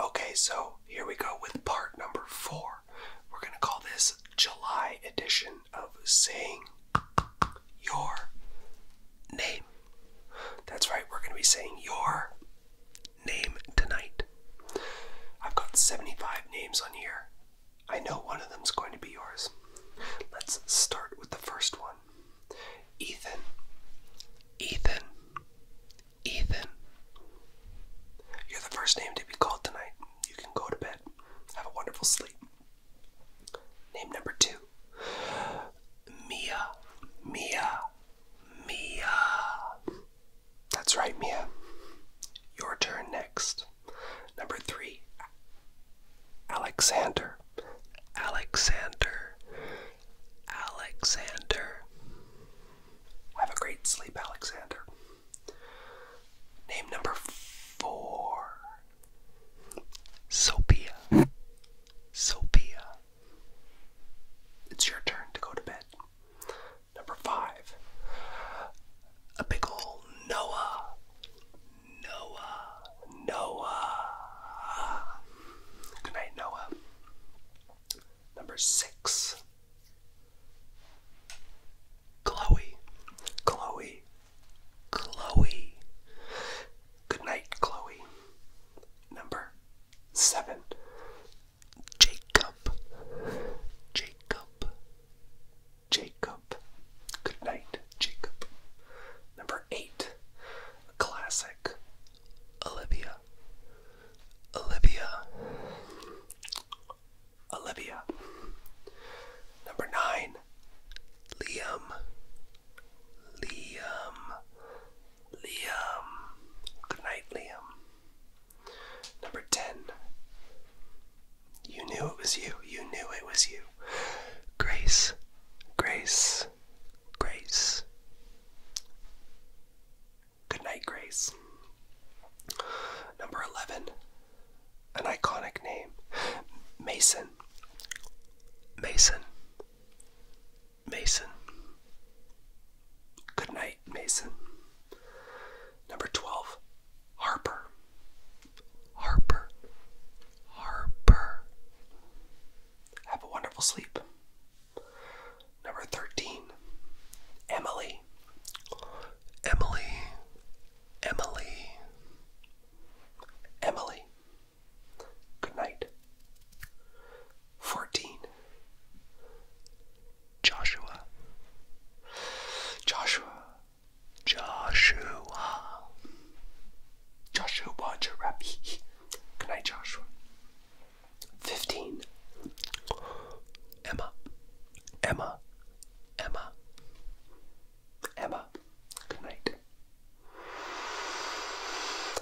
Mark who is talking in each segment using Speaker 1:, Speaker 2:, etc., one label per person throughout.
Speaker 1: Okay, so here we go with part number four. We're going to call this July edition of saying your name. That's right, we're going to be saying your name tonight. I've got 75 names on here. I know one of them's going to be yours. Let's start with the first one Ethan. Ethan. Ethan. You're the first name to be called tonight. You can go to bed. Have a wonderful sleep. Name number two Mia. Mia. Mia. That's right, Mia. Your turn next. Number three Alexander. Alexander. Alexander. Have a great sleep, Alexander. Name number four Sophia. Sophia. It's your turn to go to bed. Number five. A big ol' Noah. Noah. Noah. Good Noah. Number six. Chloe, Chloe, Chloe. Good night, Chloe. Number seven. Jacob, Jacob, Jacob. Good night, Jacob. Number eight. A classic. Olivia, Olivia. Olivia. Number nine. Liam. Liam. Liam. Good night, Liam. Number 10. You knew it was you. You knew it was you. Grace. Grace. Grace. Good night, Grace. Number 11. An iconic name. Mason. Mason. Mason. Good night, Mason. Number 12. Harper. Harper. Harper. Have a wonderful sleep. Number 13, Emily. Emily. Emily. Emily. Good night. 14, Joshua. Joshua. Joshua. Joshua Jarabi. Good night, Joshua. 15. Emma. Emma. Emma. Emma. Good night.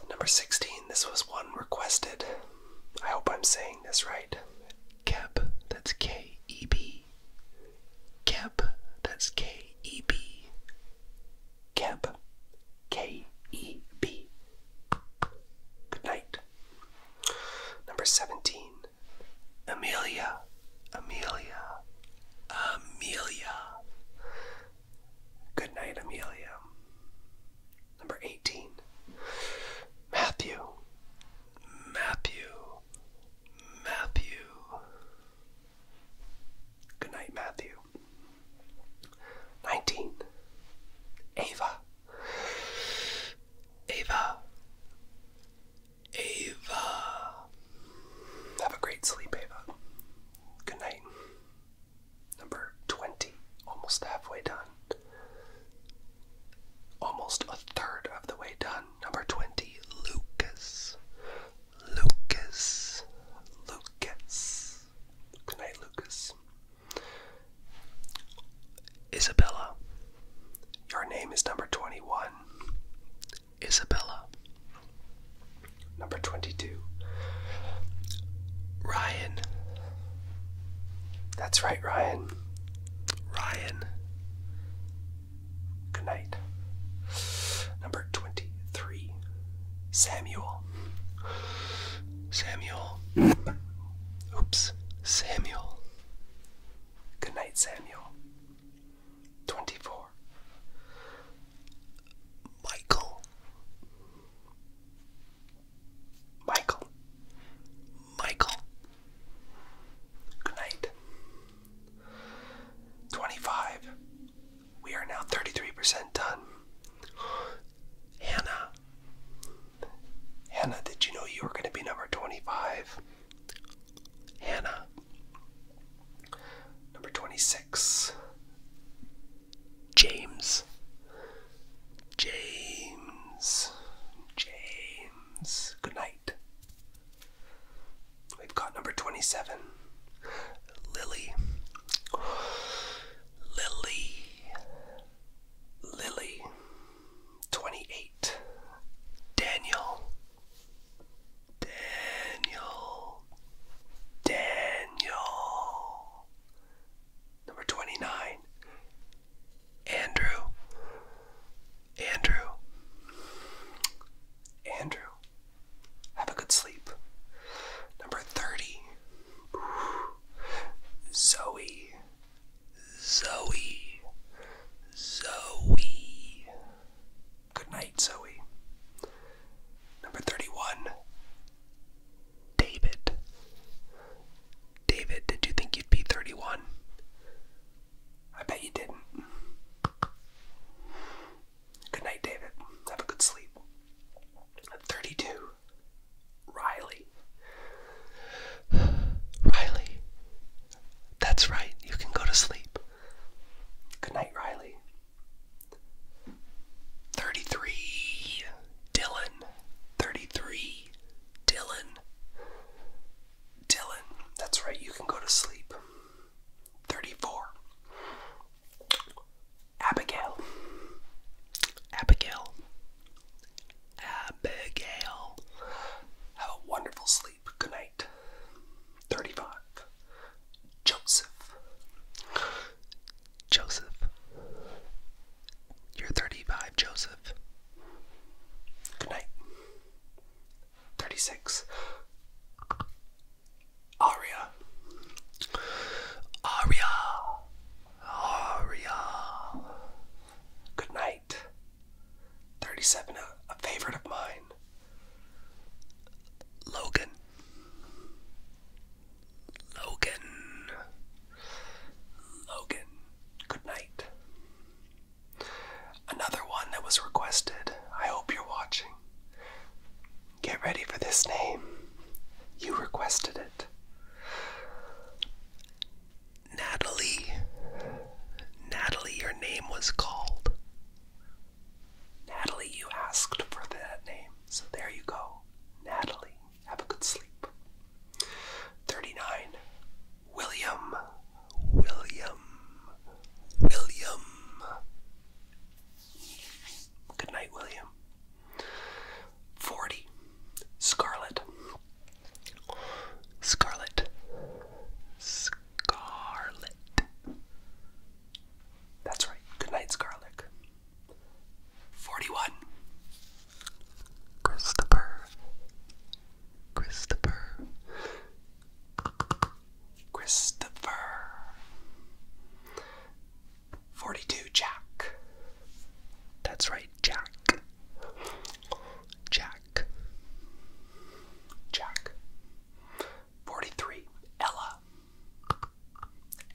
Speaker 1: Number 16. This was one requested. I hope I'm saying this right. Keb. That's K E B. Keb. That's K E B. Keb. K E B. Good night. Number 17. Amelia. Amelia. Amelia. Good night, Amelia. Number 18. Matthew. Matthew. Matthew. Good night, Matthew. 19. Ava. Ava. Ava. Have a great sleep, Ava. Good night. Number 20, almost halfway done. Almost a third of the way done. Number 20, Lucas. Lucas. Lucas. Good night, Lucas. Isabella. Your name is number 21. Isabella. Number 22. Ryan. That's right, Ryan. Ryan. Good night. Number 23. Samuel. Samuel. Oops, Samuel. Good night, Samuel. 24. Michael. Michael. Michael. Good night. 25. We are now 33% done. Hannah. Hannah, did you know you were going to be number 25? Hannah. Number 26. James. James. James. Good night. We've got number 27. Lily. Lily. Lily, 28. Daniel, Daniel, Daniel. Number 29. Andrew, Andrew, Andrew. Have a good sleep. Number 30. Zoe, Zoe, Zoe. Good night, Zoe. Number 31, David. David, did you think you'd be 31? I bet you didn't. Good night, David. Have a good sleep. 32. Riley. Riley. That's right, you can go to sleep. Good night, Riley. 33. Dylan. 33. Dylan. Dylan. That's right, you can go to sleep. 34. Abigail. Abigail. Abigail. Have a wonderful sleep. Good night. 35. Joseph. Joseph. You're 35, Joseph. Good night. 36. Aria. Aria. Aria. Good night. 37, a, favorite of mine. Logan. Logan. Logan. Good night. Another one that was requested. I hope you're watching. Get ready for this name. You requested it. Natalie. Natalie, your name was called. Natalie, you asked for that name. So there you go. Natalie, have a good sleep. 39. William. William. William. Good night, William. 40. Scarlet. Scarlet. Scarlet. That's right. Good night, Scarlet. 41. Christopher. Christopher. Christopher. 42 Jack. That's right, Jack. Jack. Jack. 43 Ella.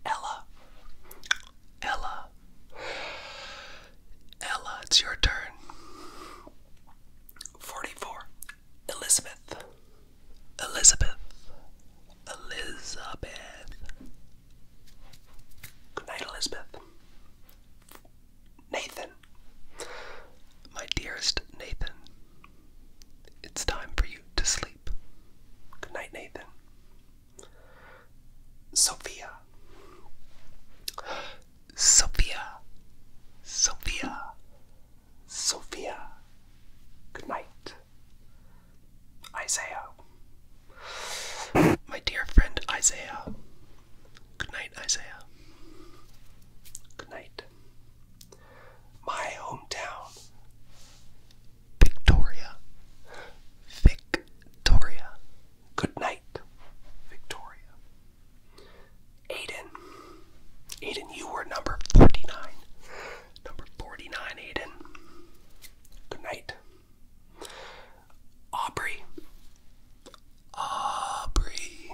Speaker 1: Ella. Ella. Ella, it's your turn. 44 Elizabeth. Elizabeth. Elizabeth. Good night, Elizabeth. Nathan, my dearest Nathan, it's time for you to sleep. Good night, Nathan. Sophia, Sophia, Sophia, Sophia, good night. Isaiah. My dear friend Isaiah. Good night, Isaiah. Good night. My hometown, Victoria. Victoria. Good night, Victoria. Aiden. Aiden, you were number 49. Number 49, Aiden. Good night. Aubrey. Aubrey.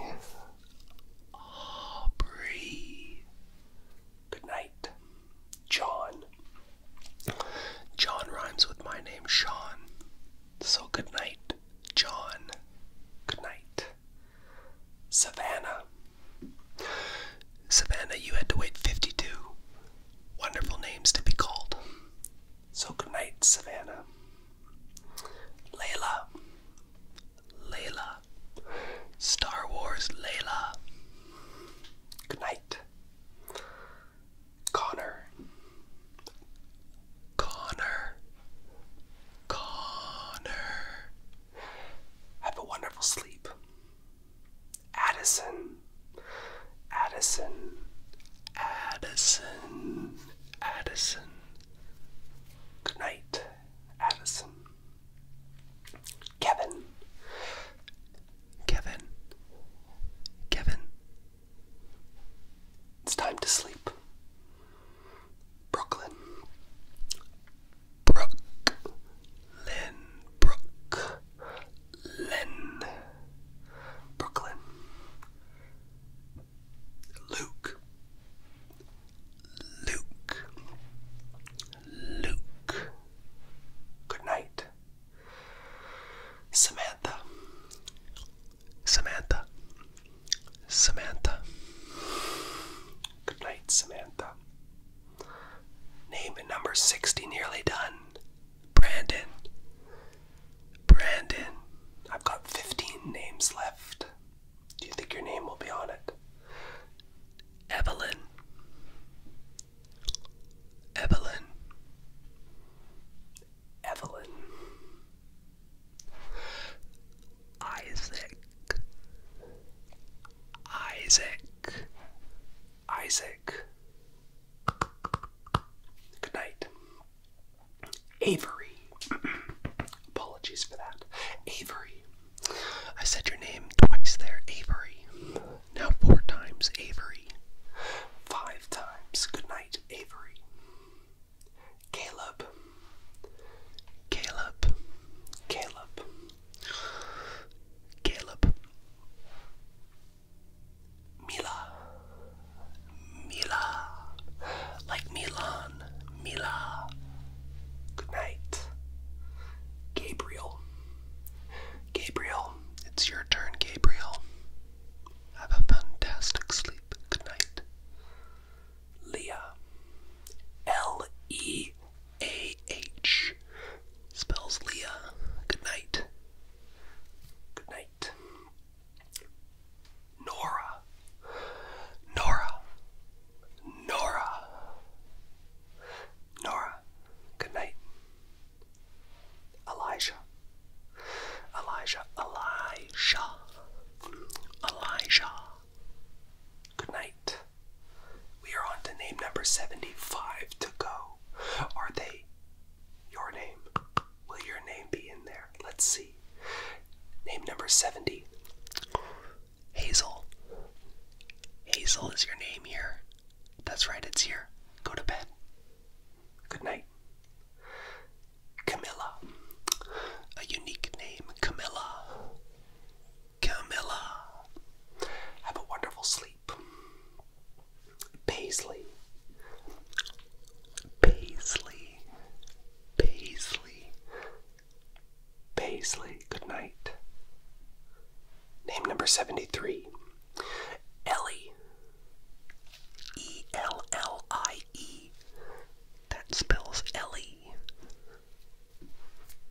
Speaker 1: Aubrey. Good night. John. John rhymes with my name, Sean. So good night, John. Good night. Savannah. Savannah, you had to wait 52 wonderful names to be called. So good night, Savannah. Layla. Layla. Star Wars Layla. Good night. Connor. Connor. Connor. Have a wonderful sleep. Addison, Addison, Addison, Addison. Good night, Addison. Kevin, Kevin, Kevin. It's time to sleep. Brooklyn, Brooklyn, Brook, Len, Brooklyn, Luke, Luke, Luke. Good night, Samantha, Samantha, Samantha. Good night, Samantha. Name and number 60 nearly done. Brandon. Brandon. I've got 15 names left. Do you think your name will be on it? Evelyn. Evelyn. Evelyn. Isaac. Isaac. Isaac. Good night. Avery. Apologies for that. Avery. I said your name twice there. Avery. Now four times. Avery. Five times. Good night, Avery. Caleb. Caleb. Caleb. Caleb. Mila, Mila, like Milan, Mila. Good night, Gabriel. Gabriel, it's your turn, Gabriel. Have a fantastic sleep. Good night. Leah, L E A H, spells Leah. Good night. Good night night. Nora, Nora, Nora, good night. Elijah, Elijah, Elijah, Elijah, good night. We are on to name number 75 to go. Are they your name. Will your name be in there? Let's see. Name number 70. Hazel. Hazel is your name here. That's right, it's here. Go to bed. Good night. Camilla. A unique name, Camilla. Camilla. Have a wonderful sleep sleep. Paisley. Paisley. Paisley. Paisley. Good night. Name number 73. Ellie. E L L I E. That spells Ellie.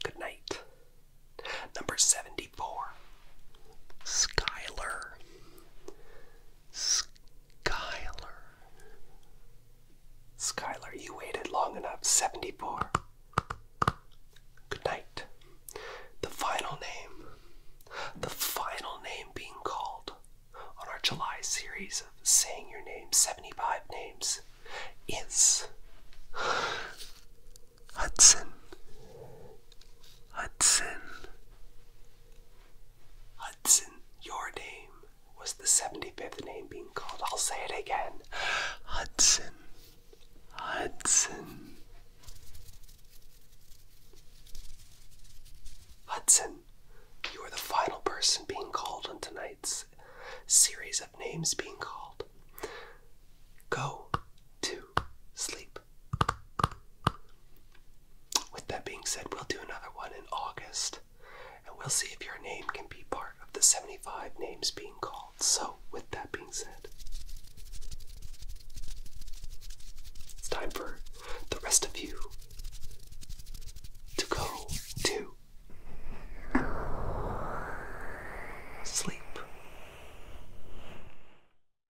Speaker 1: Good night. Number 74. Skylar. Skylar. Skylar, you waited long enough. 74. Good night. The final name. The final name being called on our July series of saying your name, 75 names, is Hudson. Hudson. Hudson, your name was the 75th name being called. I'll say it again. Hudson. Hudson. Hudson, you are the final person being called on tonight's series of names being called. Go to sleep. With that being said, we'll do another one in August and we'll see if your name can be part of the 75 names being called. So, with that being said, it's time for the rest of you to go to sleep.